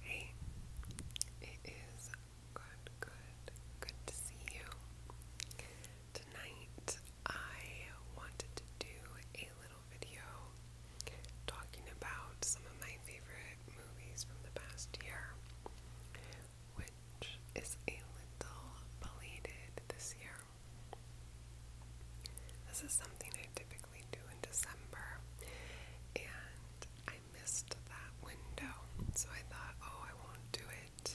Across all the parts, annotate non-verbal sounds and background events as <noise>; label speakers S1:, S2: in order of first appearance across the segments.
S1: Hey, it is good, good, good to see you. Tonight I wanted to do a little video talking about some of my favorite movies from the past year, which is a little belated this year. This is something I typically typically do in December, and I missed that window. So I thought, oh, I won't do it.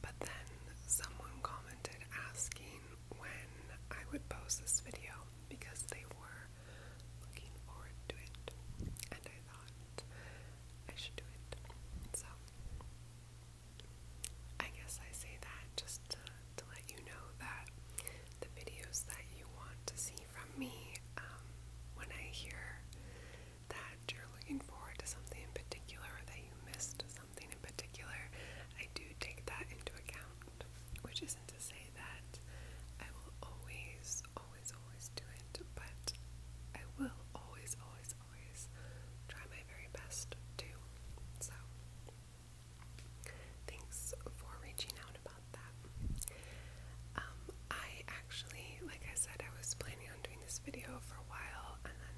S1: But then someone commented asking when I would post this video because they were looking forward to it, and I thought I should do it. So I guess I say that just to let you know that the videos that you want to see from me, um, when I hear that you're looking forward to something in particular or that you missed something in particular, I do take that into account, which isn't to say that I will always, always, always do it, but I will always, always, always try my very best to. So, Thanks for reaching out about that. Um, I actually, like I said, I was planning on doing this video for a while and then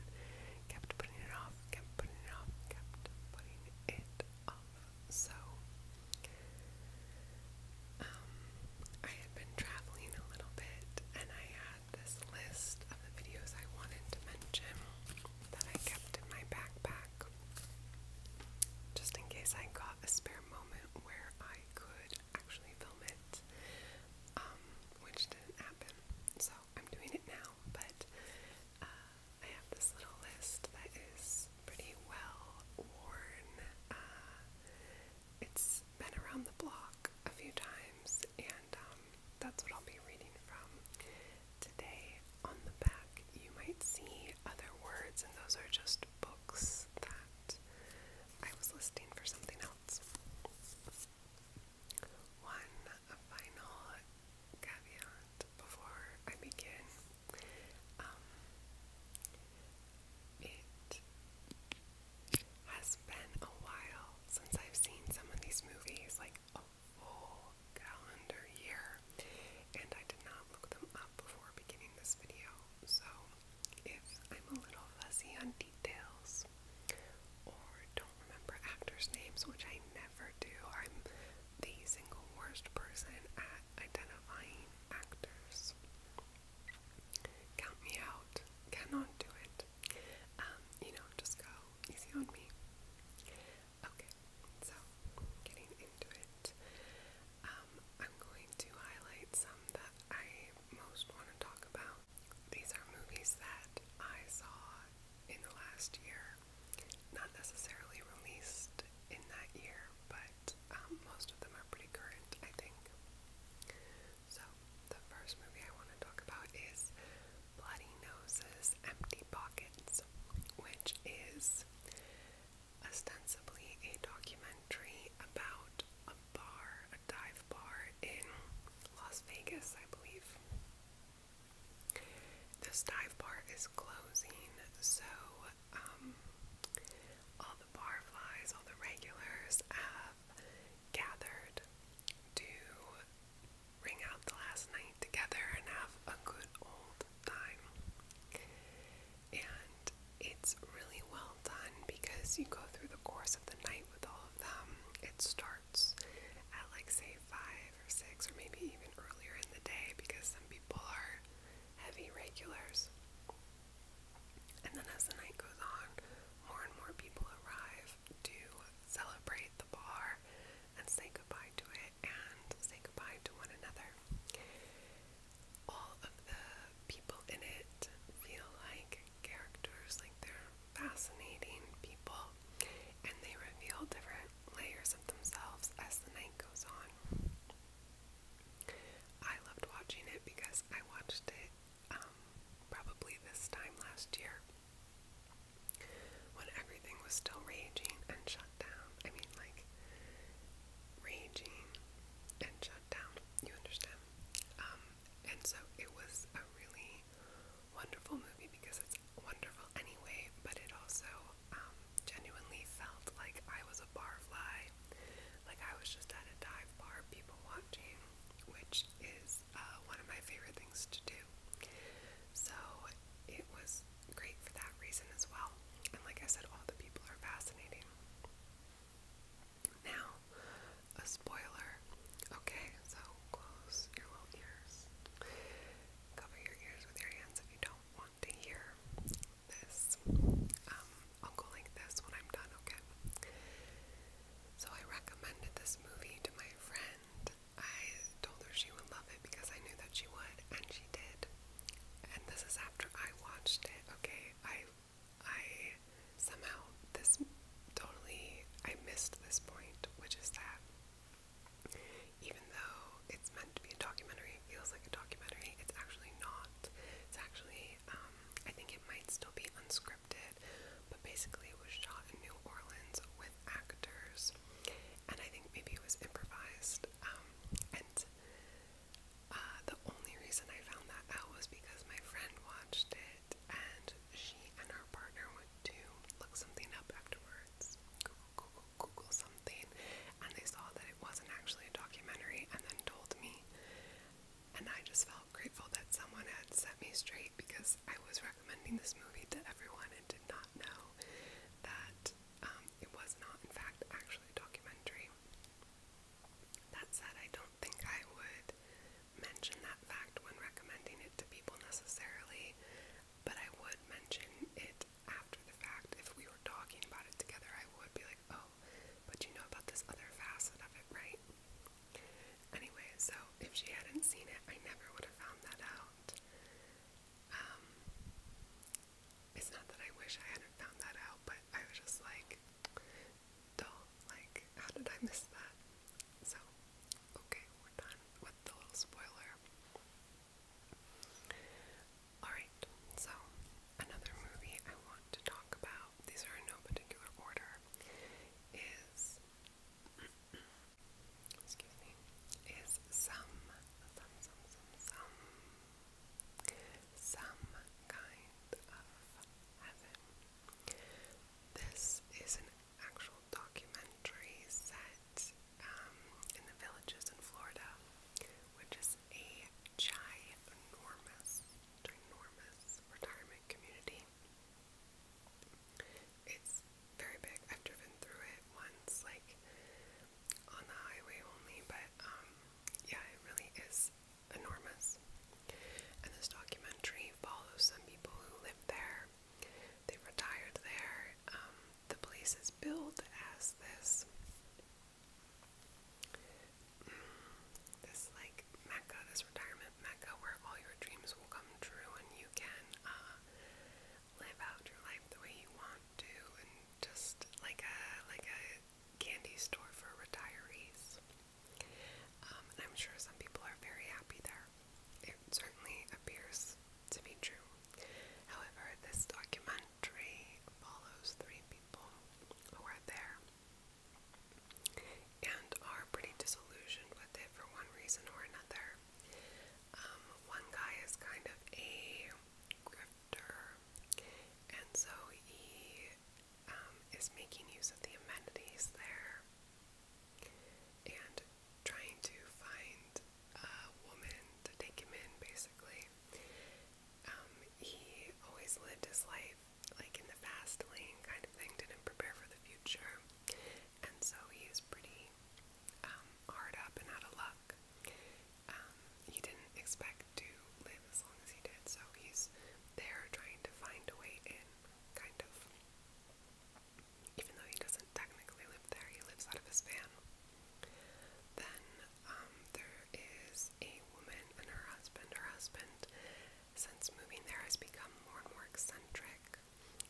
S1: kept putting it off, kept putting it off, kept putting it off. So, um, I had been traveling a little bit and I had this list of the videos I wanted to mention that I kept in my backpack. Just in case I got a spare moment where I could actually film it, um, which didn't happen. So I'm doing it now, but uh, I have this little list that is pretty well worn. Uh, it's been around the block a few times, and um, that's what I'll be reading from today on the back you might see other words, and those are just books that I was listing for something else. One final caveat before I begin. Um, it has been a while since I've seen some of these movies, like a full calendar year and I did not look them up before beginning this video, so if I'm a little fussy on details or don't remember actors' names, which I never do, I'm the single worst person at identifying actors. Count me out. Cannot do it. Um, you know, just go easy on me. Okay, so getting into it, um, I'm going to highlight some that I most want to talk about. These are movies that I saw in the last year, not necessarily released in that year, but um, most of them are pretty current, I think. So, the first movie I want to talk about is Bloody Noses Empty Pockets, which is ostensibly a documentary about a bar, a dive bar in Las Vegas, I believe. This dive bar is closing, so um, all the barflies, all the regulars have gathered to ring out the last night together and have a good old time. And it's really well done because you go through the course of the night with all of them. It starts at like say five or six or maybe even earlier in the day because some people are heavy regulars. And then as the night goes on, more and more people arrive to celebrate the bar and say goodbye to it and say goodbye to one another. All of the people in it feel like characters, like they're fascinating people, and they reveal different layers of themselves as the night goes on. I loved watching it because I watched it um, probably this time last year when everything was still raging and shut down. I mean, like, raging and shut down. You understand? Um, and so it was a really wonderful movie because it's wonderful anyway, but it also um, genuinely felt like I was a barfly, like I was just at a dive bar, people watching, which is uh, one of my favorite things to do. So it was great for that reason as well. And like I said, all the people are fascinating. Now, a spoiler. Okay, so close your little ears. Cover your ears with your hands if you don't want to hear this. Um, I'll go like this when I'm done, okay? So I recommended this movie to my friend. I told her she would love it because I knew that she would, and she did and this is after I watched it. Okay, I I somehow this totally I missed this point, which is that even though it's meant to be a documentary, it feels like a documentary. It's actually not. It's actually um, I think it might still be unscripted, but basically it was shot in New Orleans with actors, and I think maybe it was improvised. Um, and uh, the only reason I found that out was because my friend watched it and she and her partner went to look something up afterwards, Google, Google, Google something, and they saw that it wasn't actually a documentary and then told me. And I just felt grateful that someone had set me straight because I was recommending this movie to everyone and did not not know that um, it was not, in fact, actually a documentary. That said, I don't think I would mention that fact when recommending it to people necessarily, but I would mention it after the fact. If we were talking about it together, I would be like, oh, but you know about this other facet of it, right? Anyway, so if she hadn't seen it, I never would have found that out. Um, it's not that I wish I hadn't found that out, but I was just like, duh, like, how did I miss that? So, okay, we're done with the little spoiler. Alright, so another movie I want to talk about, these are in no particular order, is. <clears throat> Excuse me. Is some, some, some, some, some kind of heaven. This is an actual documentary set um, in the villages in Florida, which is a ginormous, ginormous retirement community. It's very big. I've driven through it once, like on the highway only, but um, yeah, it really is enormous. And this documentary follows some people who live there. they retired there. Um, the place is billed as this, mm, this like mecca, this retirement mecca, where all your dreams will come true and you can uh, live out your life the way you want too, and just like a like a candy store for retirees. Um, and I'm sure some people are very happy there. It certainly appears to be true. However, this documentary follows three people who are there and are pretty disillusioned with it for one reason or another. Um, one guy is kind of a doctor, and so he um, is making use of the amenities there and trying to find a woman to take him in, basically. Um, he always lived his life like in the fast lane kind of thing, didn't prepare for the future, and so he is pretty um, hard up and out of luck. Um, he didn't expect to live as long as he did, so he's there trying to find a way in, kind of. Even though he doesn't technically live there, he lives out of his van. Then um, there is a woman and her husband. Her husband, since moving there, has become more and more eccentric,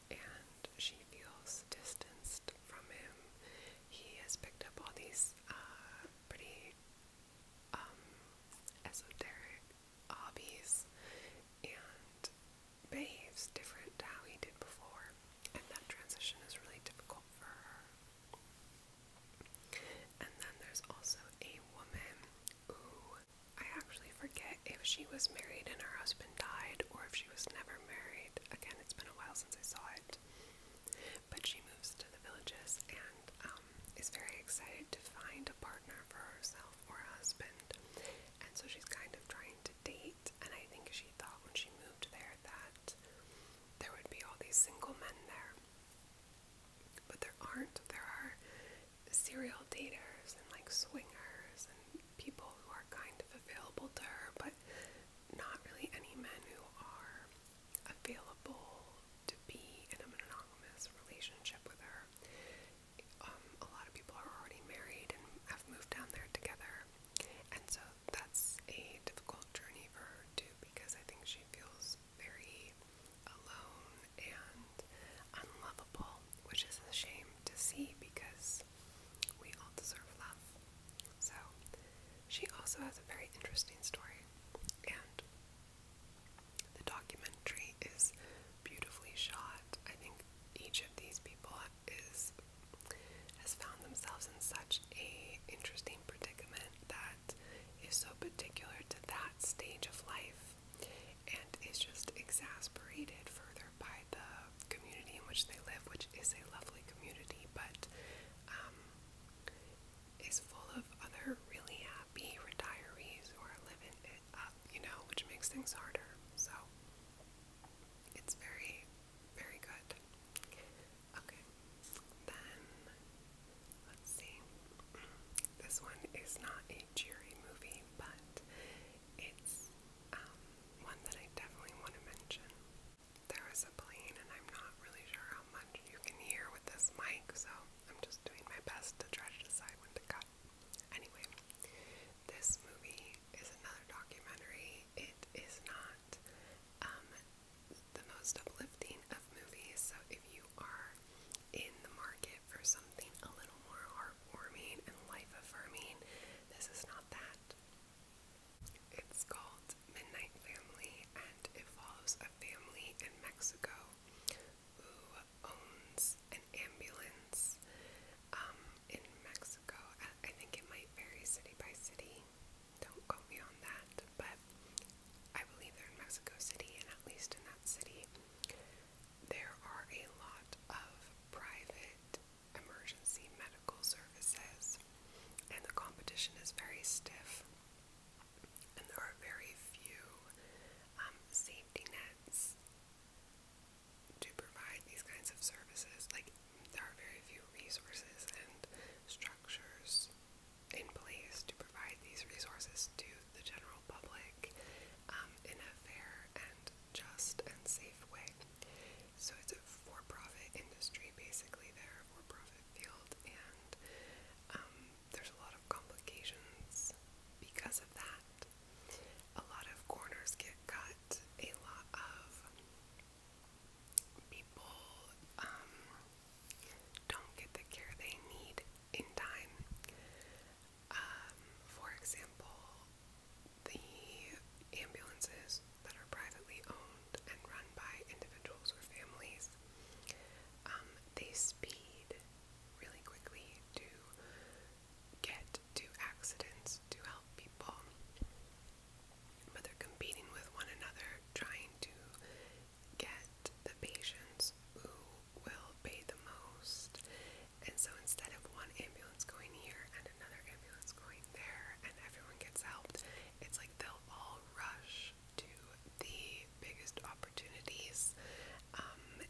S1: and she feels distanced from him he has picked up all these uh, pretty um, esoteric hobbies and behaves different to how he did before, and that transition is really difficult for her. And then there's also a woman who I actually forget if she was married and her husband died or if she was never married. Again, it's been a while since I saw it it. But she moves to the villages and um, is very excited to find a partner for herself or a husband. And so she's kind of trying to date. And I think she thought when she moved there that there would be all these single men there. But there aren't. There are serial daters and like swingers and people who are kind of available to her, but not really any men who are available to be in a monogamous relationship with her. Um, a lot of people are already married and have moved down there together, and so that's a difficult journey for her too because I think she feels very alone and unlovable, which is a shame to see because we all deserve love so, she also has a very interesting story, and the documentary is beautifully shot. I think each of these people is has found themselves in such a interesting predicament that is so particular to that stage of life and is just exasperated further by the community in which they live, which is a lovely community, but um, is full of other really happy retirees who are living it up, you know, which makes things harder. So it's very, very good. Okay, then let's see. This one is not a cheery movie, but it's um, one that I definitely want to mention. There is a plane, and I'm not really sure how much you can hear with this mic, so I'm just doing my best to try to decide when to cut. Anyway, this movie is another documentary. It is not um, the most uplifting of movies, so if you are in the market for something a little more heartwarming and life affirming, this is not that. It's called Midnight Family and it follows a family in Mexico who owns an ambulance um, in Mexico. I think it might vary city by city. Don't quote me on that, but I believe they're in Mexico City, and at least in that city, there are a lot of private emergency medical services, and the competition is very stiff, and there are very few um, safety nets to provide these kinds of services. Like, there are very few resources and structures in place to provide these resources to the general public um, in a fair and just and safe way. So it's a for-profit industry, basically. They're a for-profit field, and um, there's a lot of complications because of that. A lot of corners get cut. A lot of people um, don't get the care they need in time. Um, for example, the ambulances stores that are privately owned and run by individuals or families, um, they speed really quickly to get to accidents to help people. But they're competing with one another, trying to get the patients who will pay the most. And so instead of one ambulance going here and another ambulance going there and everyone gets helped, it's like they'll all rush to the biggest opportunities. Um,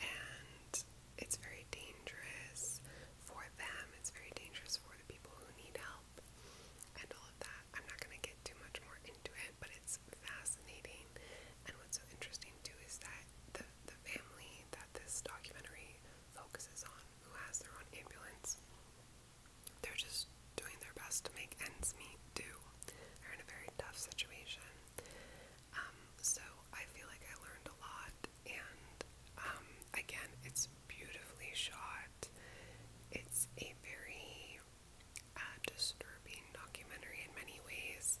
S1: and it's very dangerous for them, it's very dangerous for the people who need help and all of that. I'm not going to get too much more into it, but it's fascinating. And what's so interesting too is that the, the family that this documentary focuses on, who has their own ambulance, they're just doing their best to make ends meet do. They're in a very tough situation. Um, so I feel like I learned a lot and um, again it's beautifully shot. It's a very uh, disturbing documentary in many ways.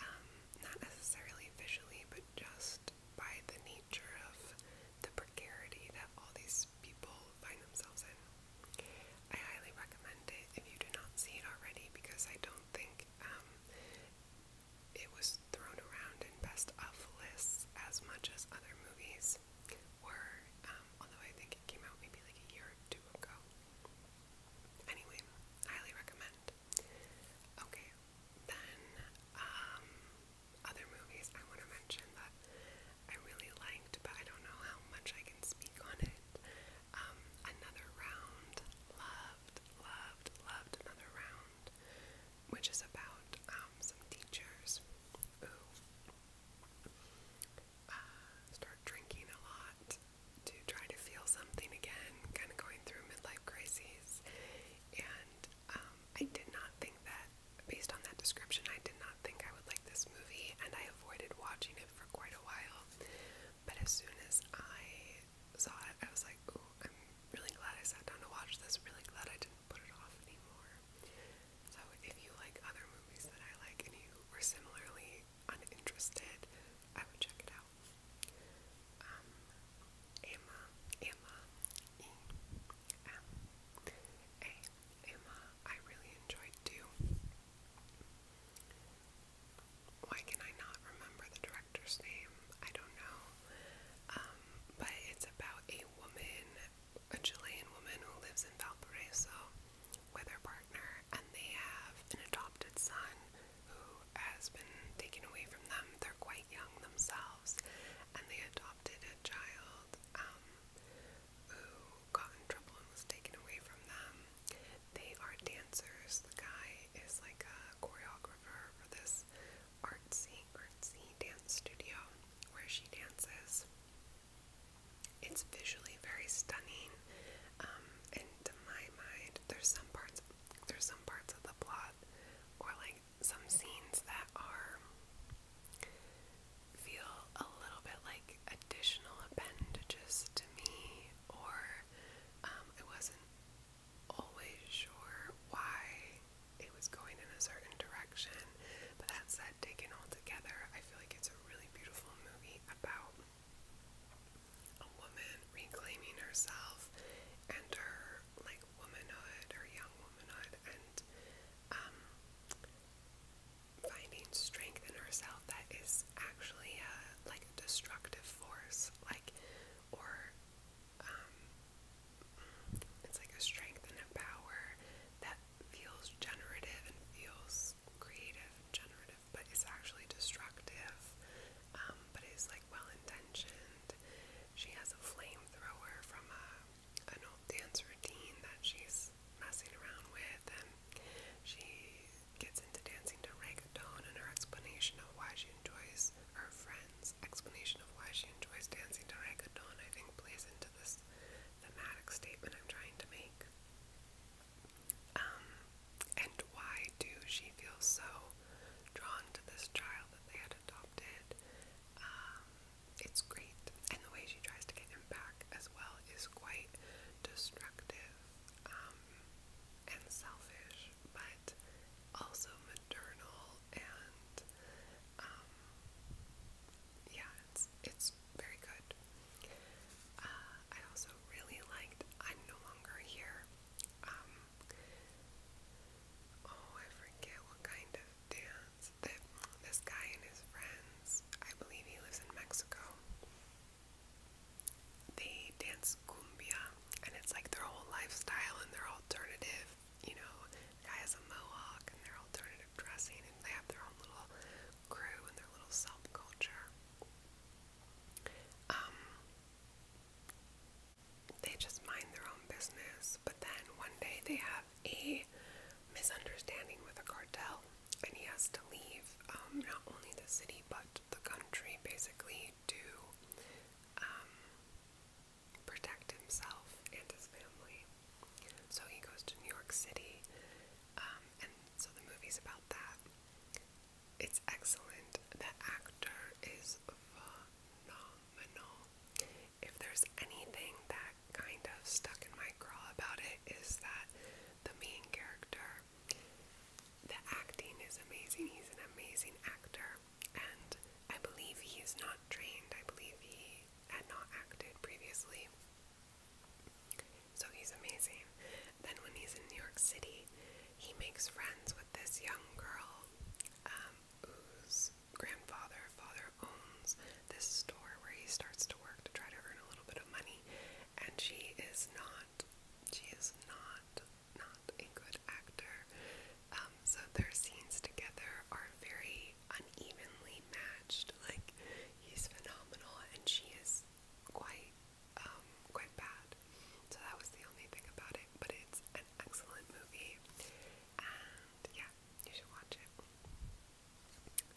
S1: Um, not necessarily visually, but just by the nature of the precarity that all these people find themselves in. I highly recommend it if you do not see it already because I don't think um, it was thrown around in best of lists as much as other movies were, um, although I think it came out maybe like a year or two ago. Anyway, highly recommend. Okay, then um, other movies I want to mention that I really liked, but I don't know how much I can speak on it. Um, Another Round, loved, loved, loved Another Round, which is about um, some teachers who uh, start drinking a lot to try to feel something again, kind of going through midlife crises, and um, I did not think that, based on that description, I did not think I would like this movie, and I avoided watching it for quite a while. But as soon as I saw it, I was like, ooh, I'm really glad I sat down to watch this, really glad I didn't put it off anymore. So if you like other movies that I like and you were similarly uninterested, I would check it out. Um, Emma, Emma, E, M, A, Emma, I really enjoyed too. Why can I not remember the director's name? I don't know. Um, but it's about a woman, a Chilean woman who lives in Valparaiso with her partner, and they have an adopted son who has been taken away from them. They're quite young themselves and they adopted a child um, who got in trouble and was taken away from them. They are dancers. The guy is like a choreographer for this artsy, artsy dance studio where she dances. It's visually very stunning, um, and to my mind, there's some parts, there's some parts of the plot, or like some scenes that are feel a little bit like additional appendages to me, or um, I wasn't always sure why it was going in a certain direction. But that said, taken all together, I feel like it's a really beautiful movie about a woman reclaiming herself and her like womanhood or young womanhood and um, finding strength in herself that is actually a, uh, like a destructive force, like, or um, it's like a strength and a power that feels generative and feels creative and generative, but is actually destructive, um, but is like well intentioned. She has a flamethrower from a uh, an old dance routine that she's messing around with, and she gets into dancing to reggaeton and her explanation of why she enjoys her friend's explanation of why she enjoys dancing to reggaeton, I think plays into this thematic statement I'm trying to make. Um, and why do she feel so drawn to this child that they had adopted? Um, it's great. And the way she tries to get him back as well is quite destructive um, and selfish, but also maternal and um, yeah, it's it's very good. Uh, I also really liked I'm No Longer Here. Um, oh, I forget what kind of dance that this guy and his friends, I believe he lives in Mexico, they dance cumbia, and it's like their whole lifestyle and their alternative. You know, the guy has a mohawk and their alternative dressing, and they have their own little crew and their little subculture. Um, they just mind their own business, but then one day they have a misunderstanding with a cartel and he has to leave um, not only the city but the country basically to um, protect himself and his family. So he goes to New York City, um, and so the movie's about that. It's excellent. The actor is phenomenal if there's anything that kind of stuck in my craw about it, is that the main character, the acting is amazing. He's an amazing actor, and I believe he is not trained. I believe he had not acted previously. So he's amazing. Then, when he's in New York City, he makes friends with this young girl um, grandfather, father owns this store where he starts to work to try to earn a little bit of money, and she is not, she is not, not a good actor. Um, so their scenes together are very unevenly matched. Like he's phenomenal, and she is quite, um, quite bad. So that was the only thing about it. But it's an excellent movie, and yeah, you should watch it.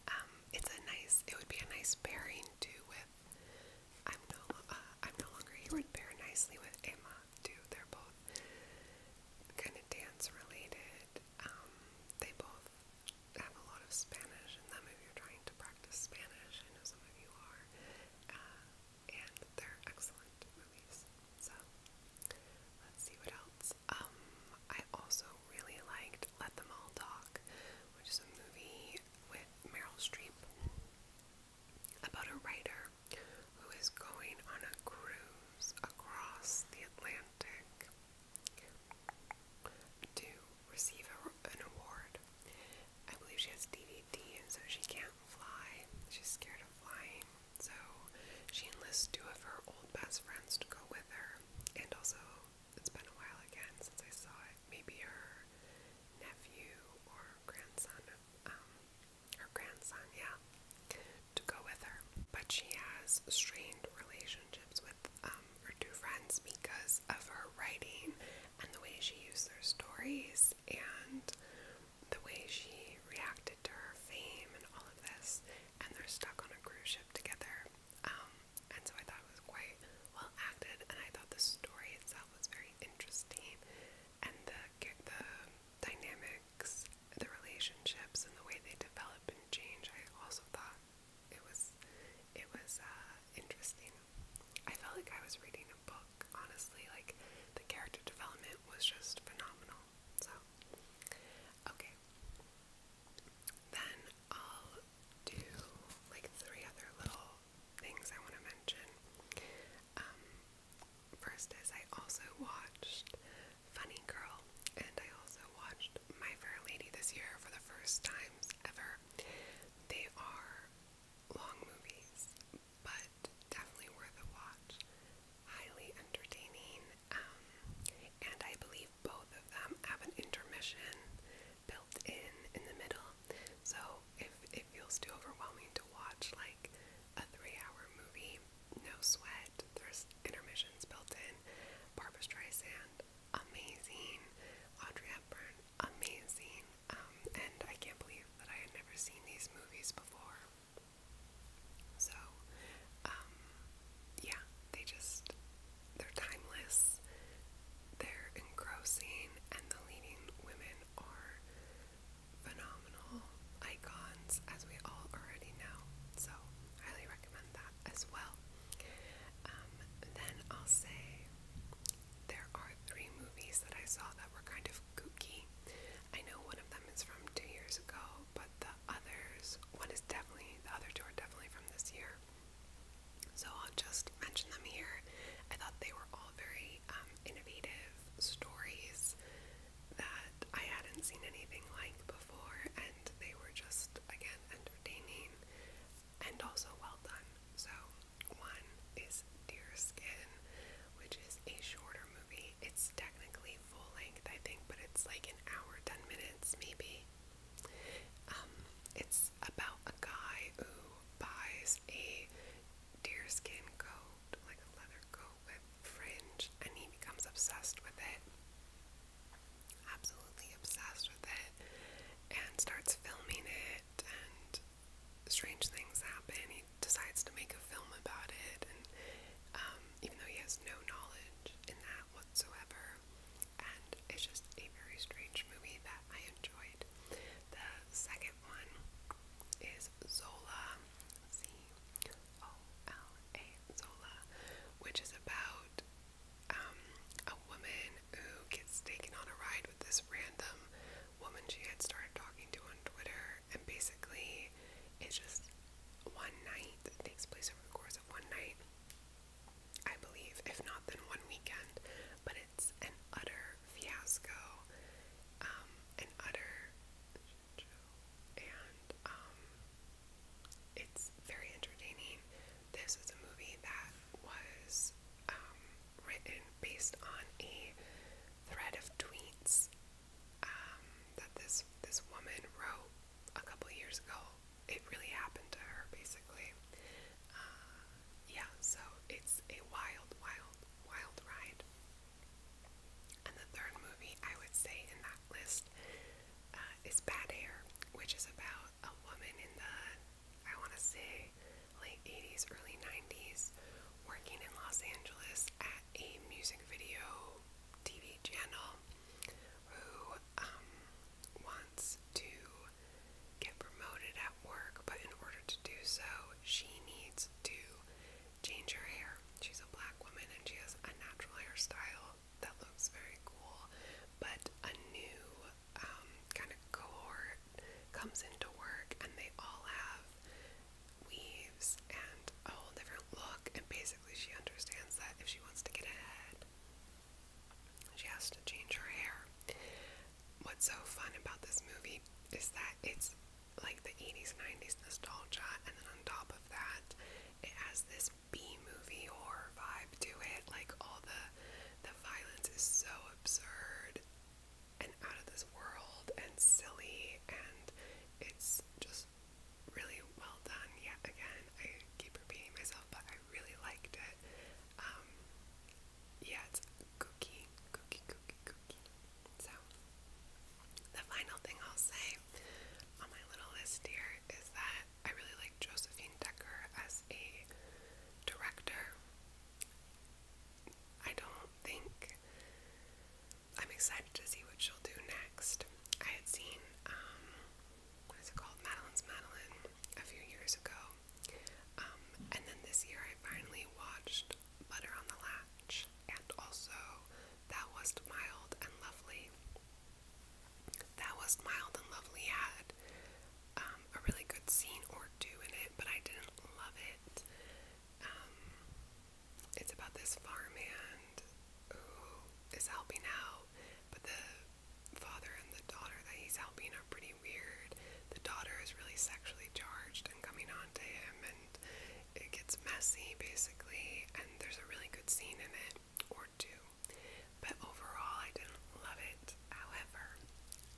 S1: Um, it's a nice. It would be a nice pairing too with. I'm no. Uh, I'm no longer here. Would pair nicely with Emma too. They're both kind of dance related. Um, they both have a lot of Spanish in them. If you're trying to practice Spanish, I know some of you are. Uh, and they're excellent movies. So let's see what else. Um, I also really liked Let Them All Talk, which is a movie with Meryl Streep about a writer who is going on a cruise across the Atlantic to receive a, an award. I believe she has DVD and so she can't fly. She's scared of flying. So she enlists two of her old best friends to go with her. And also, it's been a while again since I saw it. Maybe her nephew or grandson, um, her grandson, yeah, to go with her. But she has strained relationships with um, her two friends because of her writing and the way she used their stories and the way she reacted to her fame and all of this, and they're stuck on a cruise ship together. Um, and so I thought it was quite well acted, and I thought the story itself was very interesting, and the the dynamics, the relationships, and the way they develop and change. I also thought it was it was uh, interesting. I felt like I was reading a book, honestly. Like the character development was just phenomenal. So, okay. Then I'll do like three other little things I want to mention. Um, first is I also watched Funny Girl, and I also watched My Fair Lady this year for the first times ever. They are long movies, but but definitely worth a watch. Highly entertaining, um, and I believe both of them have an intermission built in in the middle. So if it feels too overwhelming to watch like a three-hour movie, no sweat. There's intermissions built in. Barbara Streisand, amazing. Audrey Hepburn, amazing. Um, and I can't believe that I had never seen these movies before. So, um, yeah, they just, they're timeless, they're engrossing, and the leading women are phenomenal icons, as we all already know. So, highly recommend that as well. Um, then I'll say there are three movies that I saw that were kind of kooky. I know one of them is from two years ago, but the others, one is definitely, the other two are definitely from this year. So I'll just mention them here. I thought they were all very um, innovative stories that I hadn't seen anything like before, and they were just, again, entertaining and also well done. So, one is Deer Skin, which is a shorter movie. It's technically full length, I think, but it's like an hour, 10 minutes maybe. Um, it's about a guy who buys a deerskin coat, like a leather coat with fringe, and he becomes obsessed with it. Absolutely obsessed with it, and starts filming it, and strange things happen he decides to make a film about it, and um, even though he has no knowledge in that whatsoever, and it's just a very strange movie that I enjoyed. The second one is Zola, Z O L A, Zola, which is about um, a woman who gets taken on a ride with this random woman she had started talking to on Twitter, and basically it's just one night that takes place over the course of one night, I believe, if not then one weekend. But it's an utter fiasco, um, an utter and um, it's very entertaining. This is a movie that was um, written based on a thread of tweets um, that this this woman wrote a couple years ago. It really happened to her, basically. Uh, yeah, so it's a wild, wild, wild ride. And the third movie I would say in that list uh, is Bad Hair, which is about a woman in the, I want to say, late 80s, early 90s, working in Los Angeles at a music video TV channel who um, wants to get promoted at work, but in order to do so, she needs to change her hair. She's a black woman and she has a natural hairstyle that looks very cool, but a new um, kind of cohort comes into work and they all have weaves and a whole different look, and basically, she understands that if she wants to get ahead, she has to change her hair. What's so fun about this movie is that it's like the 80s, 90s nostalgia, and then on top of that, it has this B movie horror vibe to it. Like all the the violence is so absurd and out of this world and silly and it's just really well done. Yet again, I keep repeating myself, but I really liked it. Um, yeah, it's cookie, cookie, cookie, cookie. So, the final thing I'll say on my little list here is that I really like Josephine Decker as a director. I don't think I'm excited to see what she'll do next. I had seen, um, what is it called? Madeline's Madeline a few years ago. Um, and then this year I finally watched Butter on the Latch and also Thou Wast Mild and Lovely. Thou Wast Mild and Lovely had um, a really good scene or two in it, but I didn't love it. Um, it's about this farmhand who is helping out, but the father and the daughter that he's helping are pretty weird. The daughter is really sexually charged and coming on to him, and it gets messy basically. And there's a really good scene in it, or two, but overall, I didn't love it. However,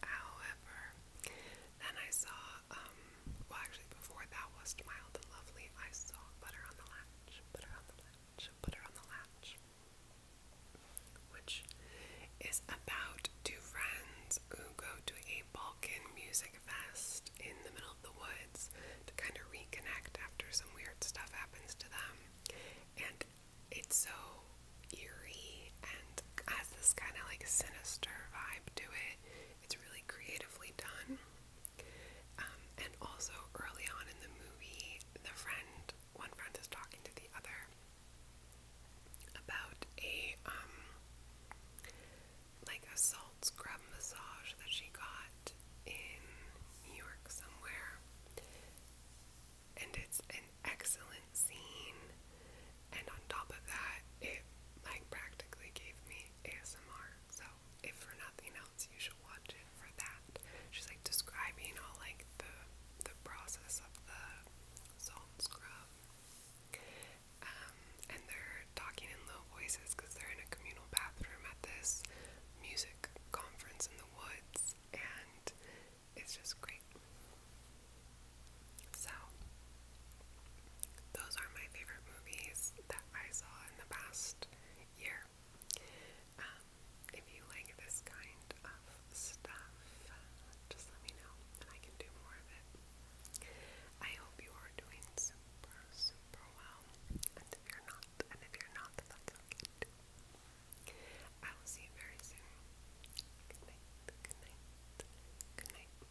S1: however, then I saw um, well, actually, before that was Mild and Lovely, I saw Butter on the Latch, Butter on the Latch, Butter on the Latch, which is about two friends who go to a Balkan music fest in the middle of the woods to kind of reconnect after some weird stuff happens to them. And it's so eerie and has this kind of like sinister vibe to it. It's really creatively done. Um, and also early on in the movie, the friend, one friend is talking to the other about a um, like a salt scrub massage that she got in New York somewhere. And it's an excellent scene. And on top of that, it like practically gave me ASMR. So if for nothing else, you should watch it for that. She's like describing all like the the process of the salt scrub. Um, and they're talking in low voices because they're in a communal bathroom at this music conference in the woods, and it's just great. So, those are my favorite movies that I saw in the past year. Um, if you like this kind of stuff, just let me know and I can do more of it. I hope you are doing super, super well. And if you're not, and if you're not, that's okay I will see you very soon. Good night, good night, good night.